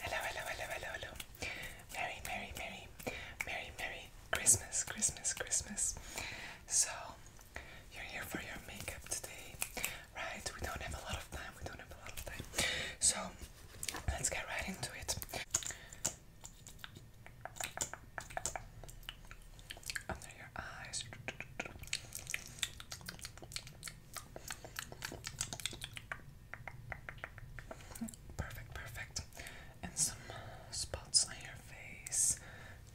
Hello, hello, hello, hello, hello. Merry, merry, merry, merry, merry Christmas, Christmas, Christmas. So, you're here for your makeup today, right? We don't have a lot of time, we don't have a lot of time. So, let's get right into it. Under your eyes. Perfect, perfect. And some spots on your face.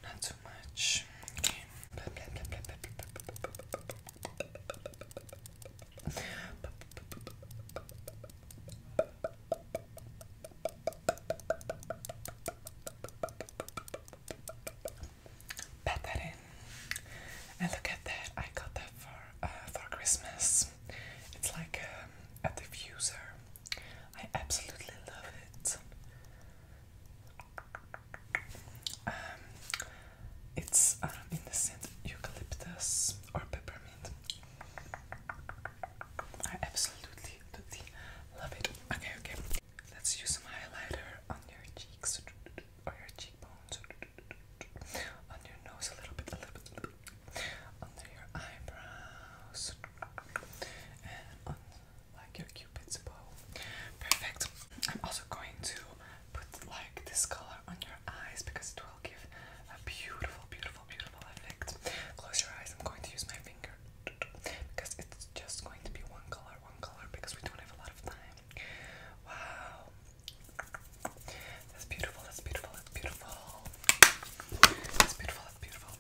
Not too much pat that in. And look at that, I got that for uh, for Christmas. It's like um, a diffuser. I absolutely love it. Um, it's um, in the scent eucalyptus or peppermint. I absolutely love it. Okay, okay. Let's use some highlighter on your cheeks or your cheekbones, on your nose a little bit, a little bit, under your eyebrows, and on like your cupid's bow. Perfect. I'm also going to put like this color on your eyes because it will give a beautiful, beautiful, beautiful effect. Close your eyes. I'm going to use my finger because it's just going to be one color, one color because we don't have a lot of time. Wow. That's beautiful, that's beautiful, that's beautiful. That's beautiful, that's beautiful.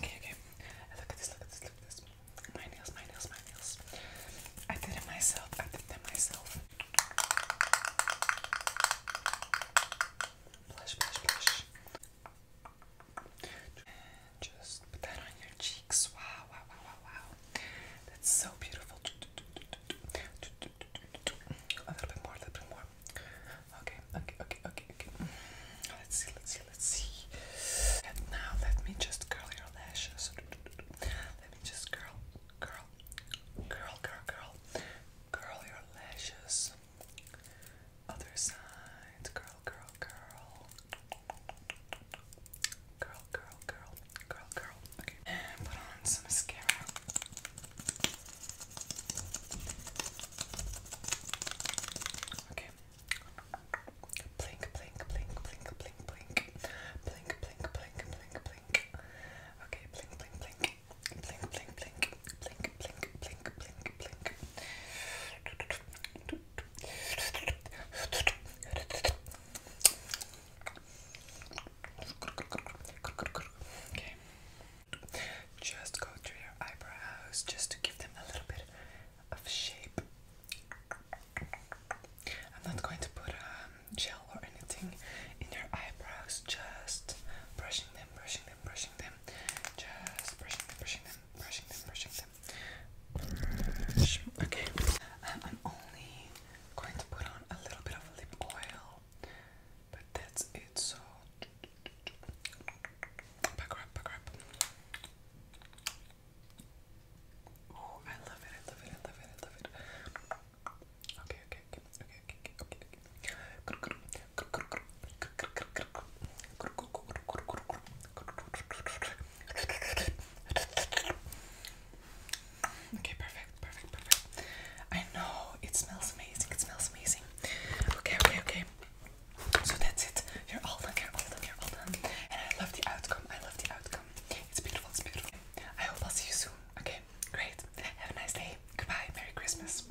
Okay, okay. Look at this, look at this, look at this. My nails, my nails, my nails. I did it myself, I did them myself. Blush, blush, blush. Just put that on your cheeks. Wow, wow, wow, wow, wow. That's so beautiful. A little bit more, a little bit more. Okay, okay, okay, okay, okay. Let's see, let's see, let's see. now let me just curl your lashes. Let me just curl, curl, curl, curl, curl. Curl your lashes. Other side. Curl, curl, curl. Girl, girl, girl, girl, girl. Okay. And put on some mascara. Okay. Blink, blink, blink, blink, blink, blink. Blink, blink, blink, blink, blink. Okay, blink, blink, blink. Blink, blink, blink. Blink, blink, blink, blink, blink. Just go through your eyebrows just to give them a little bit of shape. I'm not going to put um, gel or anything in your eyebrows, just brushing them, brushing them, brushing them, just brushing them, brushing them them, brushing them, brushing them. Brush. Okay. Um, I'm only going to put on a little bit of lip oil, but that's it. So back up, back up. Oh, I love it! I love it! I love it! I love it! Okay, okay, okay, okay, okay, okay, okay. Okay, perfect, perfect, perfect. I know it smells amazing, it smells amazing. Okay, okay, okay. So that's it. You're all done, you all done, you all done. And I love the outcome, I love the outcome. It's beautiful, it's beautiful. I hope I'll see you soon. Okay, great. Have a nice day. Goodbye, Merry Christmas.